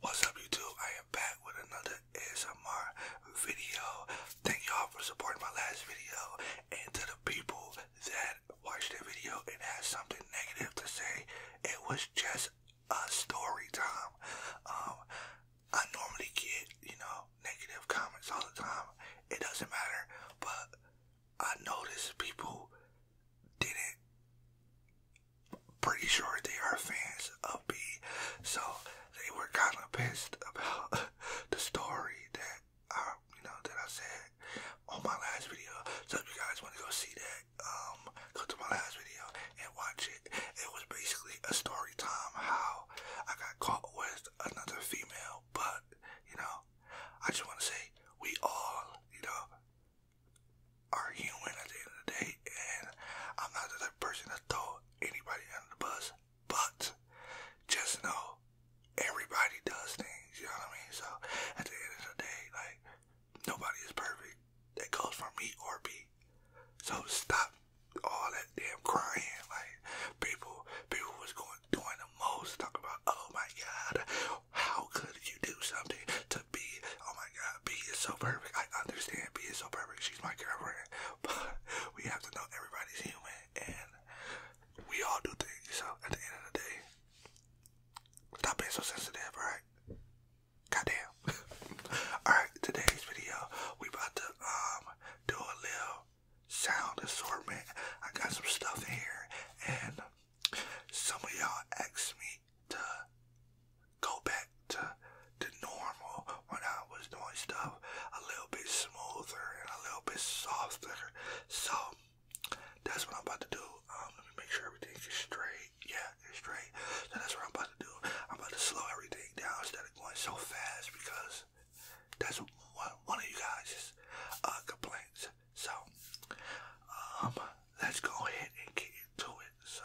What's up, YouTube? I am back with another ASMR video. Thank y'all for supporting my last video. And to the people that watched the video and had something negative to say, it was just a story time. Um, I normally get, you know, negative comments all the time. It doesn't matter, but I noticed people didn't. Pretty sure they are fans of me, so they were kind of pissed about the story that I, you know, that I said on my last video. So if you guys want to go see that, um, go to my last video and watch it. It was basically a story time how I got caught with another female, but you know, I just want to say we all, you know, are human at the end of the day, and I'm not the type person to throw anybody under the bus, but just know everybody does things, you know what I mean? So at the end of the day, like, nobody is perfect that goes for me or B. So stop all that damn crying. Like people, people was going doing the most. Talk about, oh my God, how could you do something to B? Oh my God, B is so perfect. I understand B is so perfect. She's my girlfriend, but we have to know everybody's human and we all do things. So at the end of the day, stop being so sensitive, all right? Goddamn. Alright, today's video, we about to um do a little sound assortment. I got some stuff in here and some of y'all asked me to go back to the normal when I was doing stuff a little bit smoother and a little bit softer. So that's what I'm about to do. Um let me make sure everything is straight. Yeah, it's straight. So that's what I'm about to do. I'm about to slow everything down instead of going so fast because that's one, of you guys' uh, complaints. So, um, let's go ahead and get into it. So.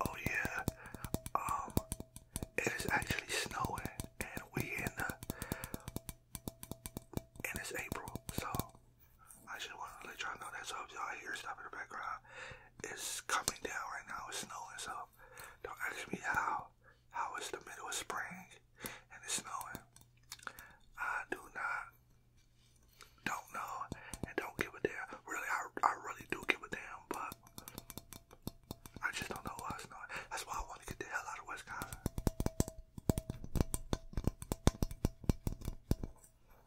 Oh yeah, um, it is actually snowing, and we in and it's April, so I just want to let y'all know that. So if y'all hear stuff in the background, it's coming down right now. It's snowing, so don't ask me how. How is the middle of spring and it's snowing. I do not, don't know, and don't give a damn. Really, I, I really do give a damn, but I just don't know why it's snowing. That's why I want to get the hell out of Wisconsin.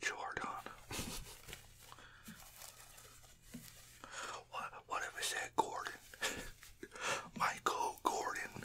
Jordan. what, what if I said Gordon? Michael Gordon.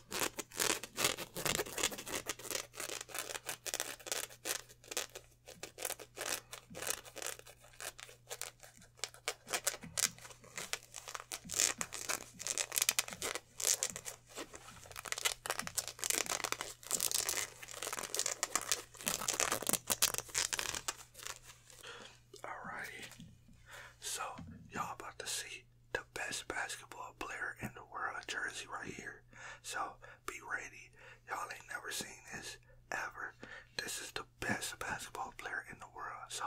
Alrighty. So y'all about to see the best basketball player in the world jersey right here. So be ready. Y'all ain't never seen this ever. This is the best basketball player in the world. So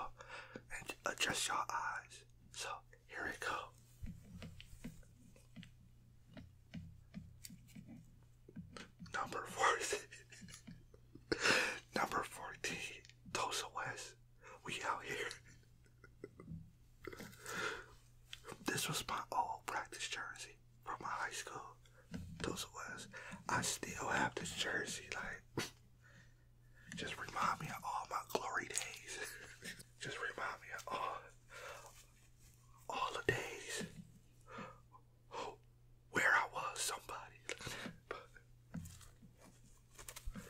and adjust your eyes. So here we go. Number 14. Number 14. Tulsa West. We out here. This was my old practice jersey from my high school. Those was. I still have this jersey. Like, just remind me of all my glory days. just remind me of all, all the days where I was somebody.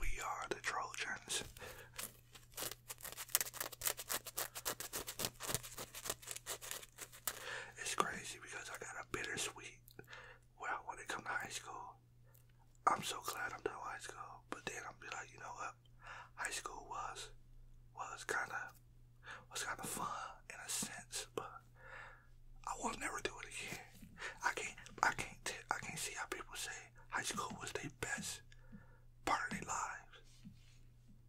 We are the Trojans. it's crazy because I got a bittersweet when I come to high school. I'm so glad I'm done high school, but then I'm be like, you know what? High school was was kind of was kind of fun in a sense, but I will never do it again. I can't, I can't, I I can't see how people say high school was the best part of their lives.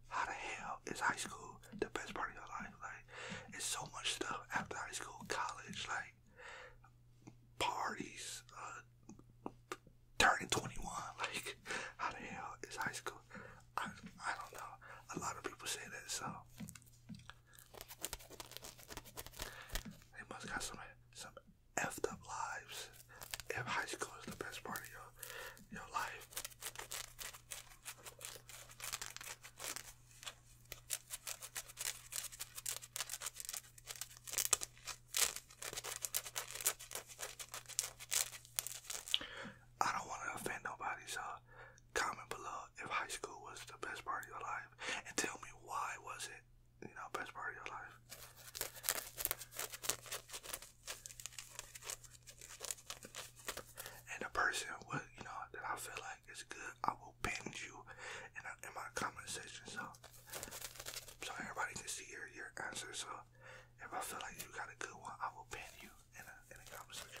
How the hell is high school the best part of your life? Like, it's so much stuff after high school, college, like parties, uh, turning 21. Like, how the hell is high school? I, I don't know. A lot of people say that, so they must got some some effed up lives. If high school is the best part of your your life. I don't want to offend nobody, so comment below if high school was the best part of your life and tell me why was it, you know, best part of your life. And the person what you know that I feel like is good, I will pin you in, in my comment section so so everybody can see your your answer. So if I feel like you got a good one, I will pin you in a, in a conversation.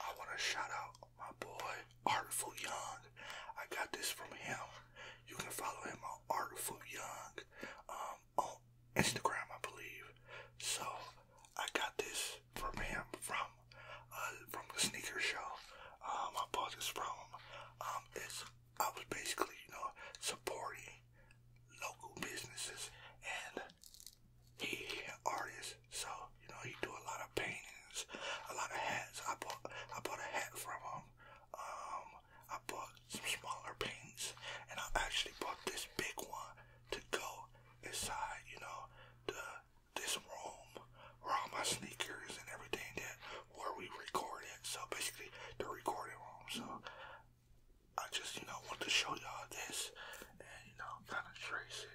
I want to shout out my boy Artful Young. I got this from him. You can follow him on Artful Young um, on Instagram, I believe. So I got this from him from uh, from the sneaker show. Um, uh, I bought this from Um, it's I was basically, you know, supporting local businesses and he, he an so you know he do a lot of paintings, a lot of hats. I bought I bought a hat from him. Um, I bought some smaller paintings, and I actually bought this big one to go inside, you know, to this room where all my sneakers and everything that where we record it. So basically, the recording room. So I just, you know, want to show y'all this and, you know, kind of trace it.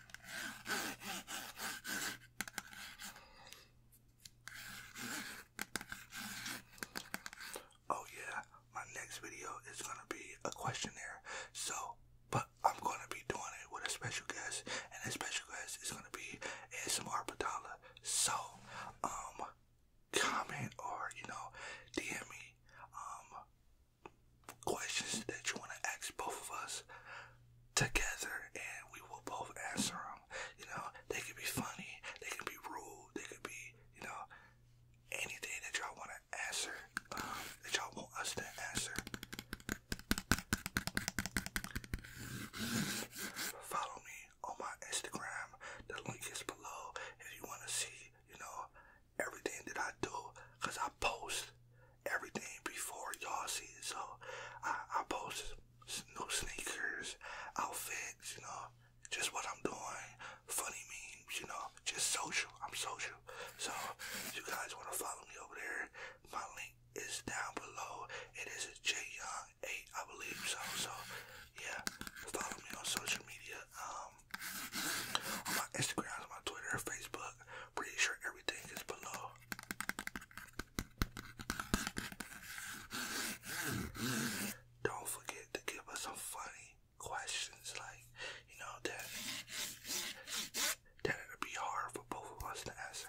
Oh yeah, my next video is gonna be a questionnaire. So, but I'm gonna be doing it with a special guest, and the special guest is gonna be ASMR Padala. So, um, comment or you know, DM me, um, questions that you want to ask both of us together and we will both answer them. You know, they could be funny, they could be rude, they could be, you know, anything that y'all want to answer, um, that y'all want us to answer. Follow me on my Instagram. The link is below if you want to see, you know, everything that I do because I post everything before y'all see it. So I, I post new sneakers, outfits, you know, just what I'm doing, funny memes, you know, just social. I'm social. So you guys want to follow me over there, my link is down below. It is a J Young 8, I believe so. So yeah, follow me on social media. Um, on my Instagram, on my Twitter, Facebook. Pretty sure everything is below. Don't forget to give us some funny questions, like you know that that it be hard for both of us to answer.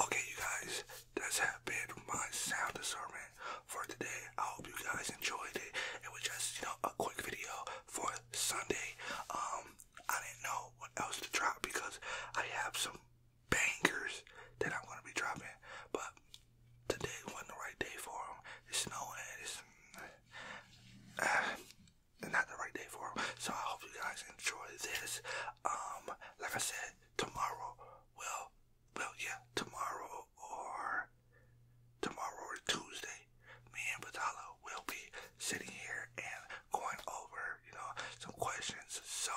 Okay, you guys, that's have been my sound discernment for today. I hope you guys enjoyed it. It was just, you know, a quick video for Sunday. Um, I didn't know what else to drop because I have some bangers that I'm gonna be dropping, but today wasn't the right day for them. It's snowing. It's uh, not the right day for them. So I hope you guys enjoy this. Um, like I said, tomorrow will, well, yeah, tomorrow or tomorrow or Tuesday, me and Batala will be sitting here and going over, you know, some questions. So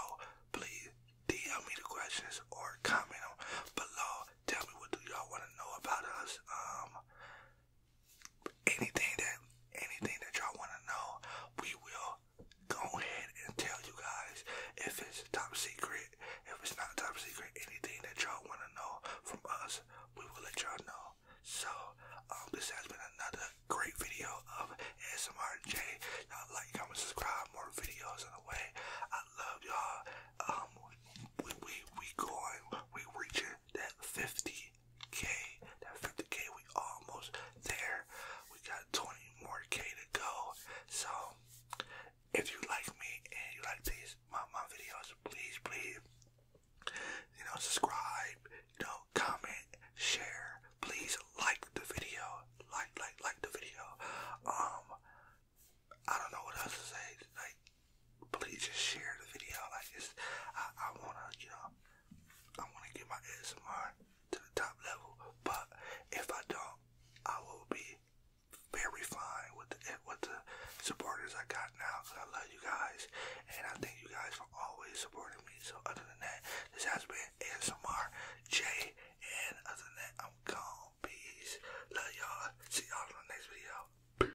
please DM me the questions or comment them below. Tell me what do y'all want to know about us. Um, anything that anything that y'all want to know, we will go ahead and tell you guys if it's top secret, if it's not top secret, anything that y'all want to know from us, we will let y'all know. So, um, this has been another great video of SMRJ. Y'all like, comment, subscribe, more videos on the way. I love y'all. Um, we, we, we going, we reaching that 50k. That 50k, we almost there. We got 20 more k to go. So, if you like me and you like these my my videos, please, please, you know, subscribe, you know, comment, share. Please like the video, like, like, like the video. Um, I don't know what else to say please just share the video. Like this. I, I wanna, you know, I wanna get my ASMR to the top level. But if I don't, I will be very fine with the with the supporters I got now. Cause I love you guys, and I thank you guys for always supporting me. So other than that, this has been ASMR J, and other than that, I'm gone. Peace, love y'all. See y'all in the next video.